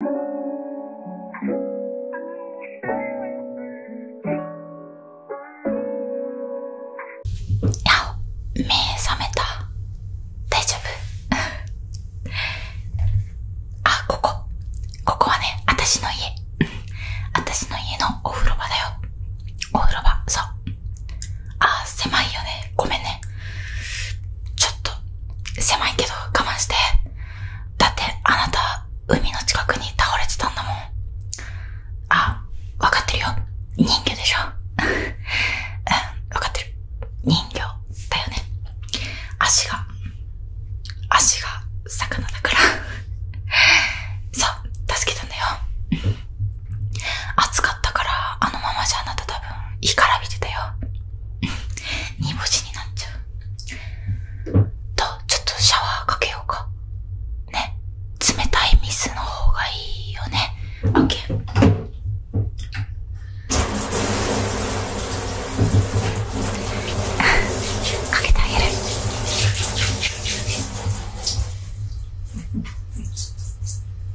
あ目覚めた大丈夫 あここここはね私の家私の家のお風呂場だよお風呂場そうあ狭いよねごめんねちょっと狭いけど我慢して。だってあなた、海の近くに倒れてたんだもん。あ、分かってるよ。人魚でしょ。うん、分かってる。人魚だよね。足が、足が魚だから。そう、助けたんだよ。暑かったから、あのままじゃあなた多分、干からびてたよ。煮干しになっちゃう。と、ちょっとシャワーかけようか。ね。冷たい水の方がいいよね。オッ かけてあげる。どう涼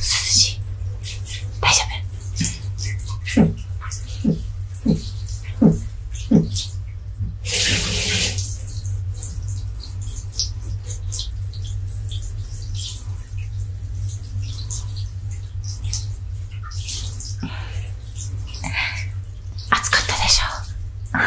しい大丈夫、ん、暑かったでしょう。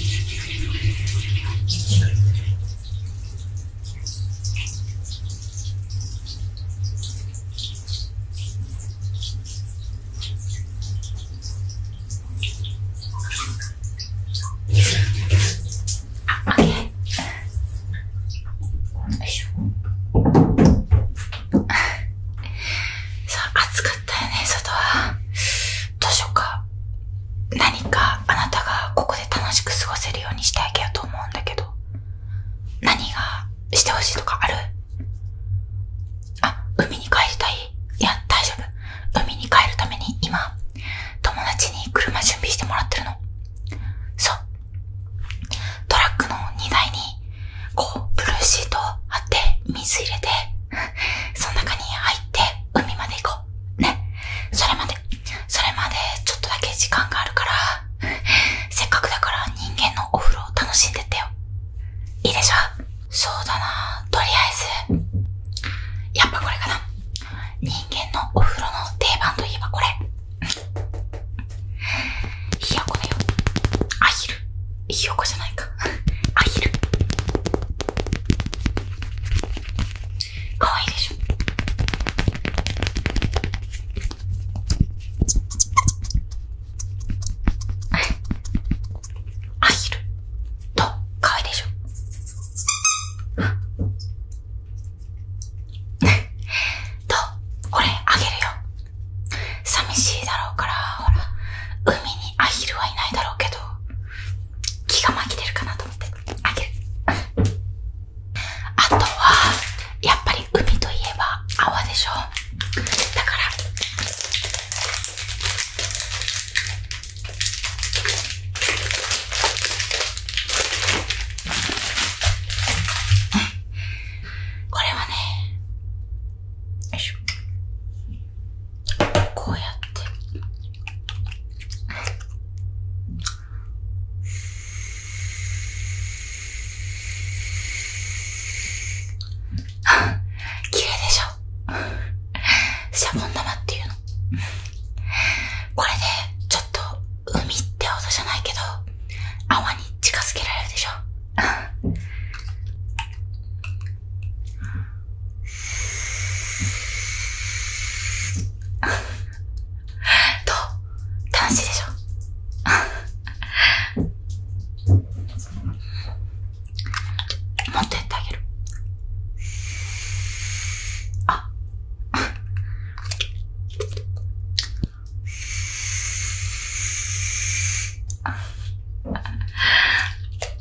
っよ暑かたね、外は。図書館。何かあなたがここで楽しく過ごせるようにしてあげようと思うんだけど何がしてほしいとかあるあ、海に帰りたいいや、大丈夫。海に帰るために今、友達に車準備してもらってるの。そう。トラックの荷台に、こう、ブルーシートを貼って、水入れて、その中に入って、海まで行こう。ね。それまでそれまでちょっとだけ時間があるから せっかくだから人間のお風呂を楽しんでってよいいでしょそうだなとりあえずやっぱこれかな人間のお風呂の定番といえばこれひよこだよアヒルひよこじゃないか アヒルかわいでしょアヒルと可愛いでしょとこれあげるよ寂しいだろうからほら海にアヒルはいないだろうけど気がきれるかなと思ってあげるあとはやっぱり海といえば泡でしょだからこれはねよいしょこうやってきれいでしょシャボン玉っていうの。これで、ちょっと、海って音じゃないけど、泡に近づけられるでしょどう楽しいでしょもっとやってあげるあ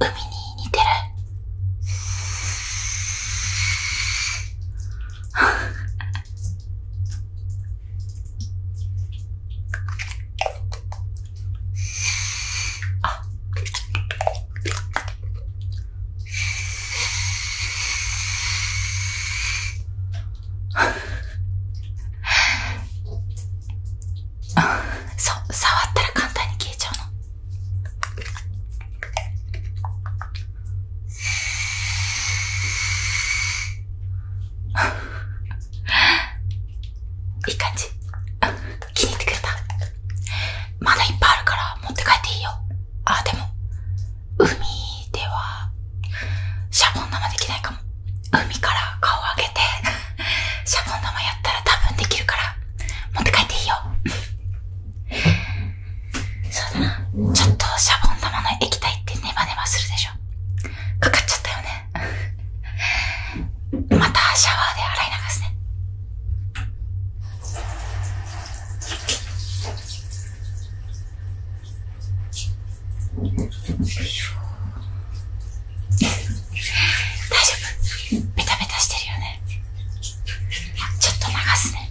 海に似てるあそ、触ったら簡単に消えちゃうの。いい感じ。気に入ってくれた。まだいっぱいあるから持って帰っていいよ。あ、でも、海ではシャボン玉できないかも海から顔を上げて シャボン玉やったら多分できるから持って帰っていいよそうだなちょっとシャボン玉の液体ってネバネバするでしょかかっちゃったよねまたシャワーで洗い流すね大丈夫メタメタしてるよねちょっと流すね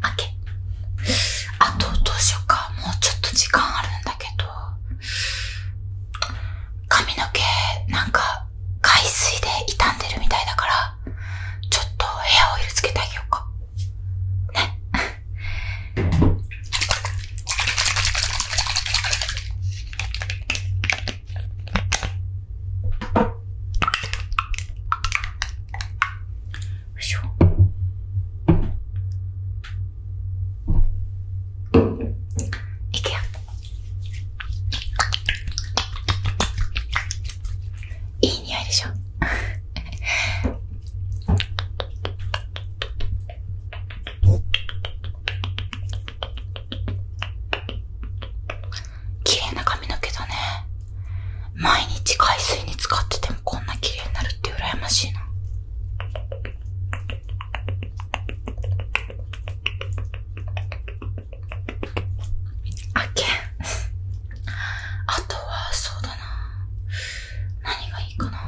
開 け。あと、どうしようか。もうちょっと時間あるんだけど。髪の毛、なんか、海水で傷んでるみたいだから、ちょっとヘアオイルつけてあげようか。ね。いしょいくよいい匂いでしょ綺麗な髪の毛だね。毎日海水に使っててもこんな綺麗になるって羨ましいな。あけん。あとは、そうだな。何がいいかな。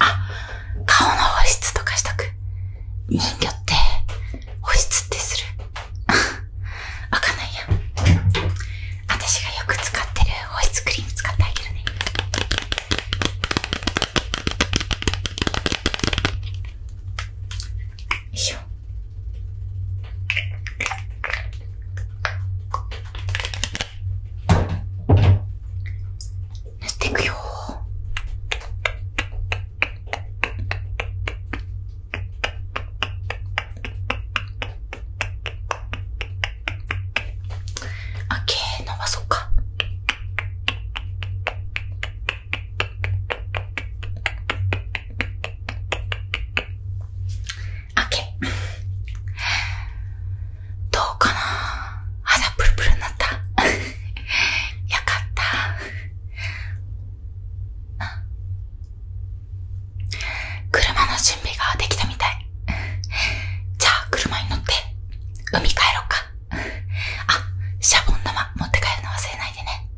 あ、顔の保湿とかしとく。人魚って保湿ってする わかないや。私がよく使ってる保湿クリーム使ってあげるね。よいしょ。塗っていくよあ、ッケー伸ばそうか開け。どうかな肌プルプルになった。よかった。車の準備ができたみたい。じゃあ、車に乗って、海帰ろうか。あ、シャボン玉持って帰るの忘れないでね。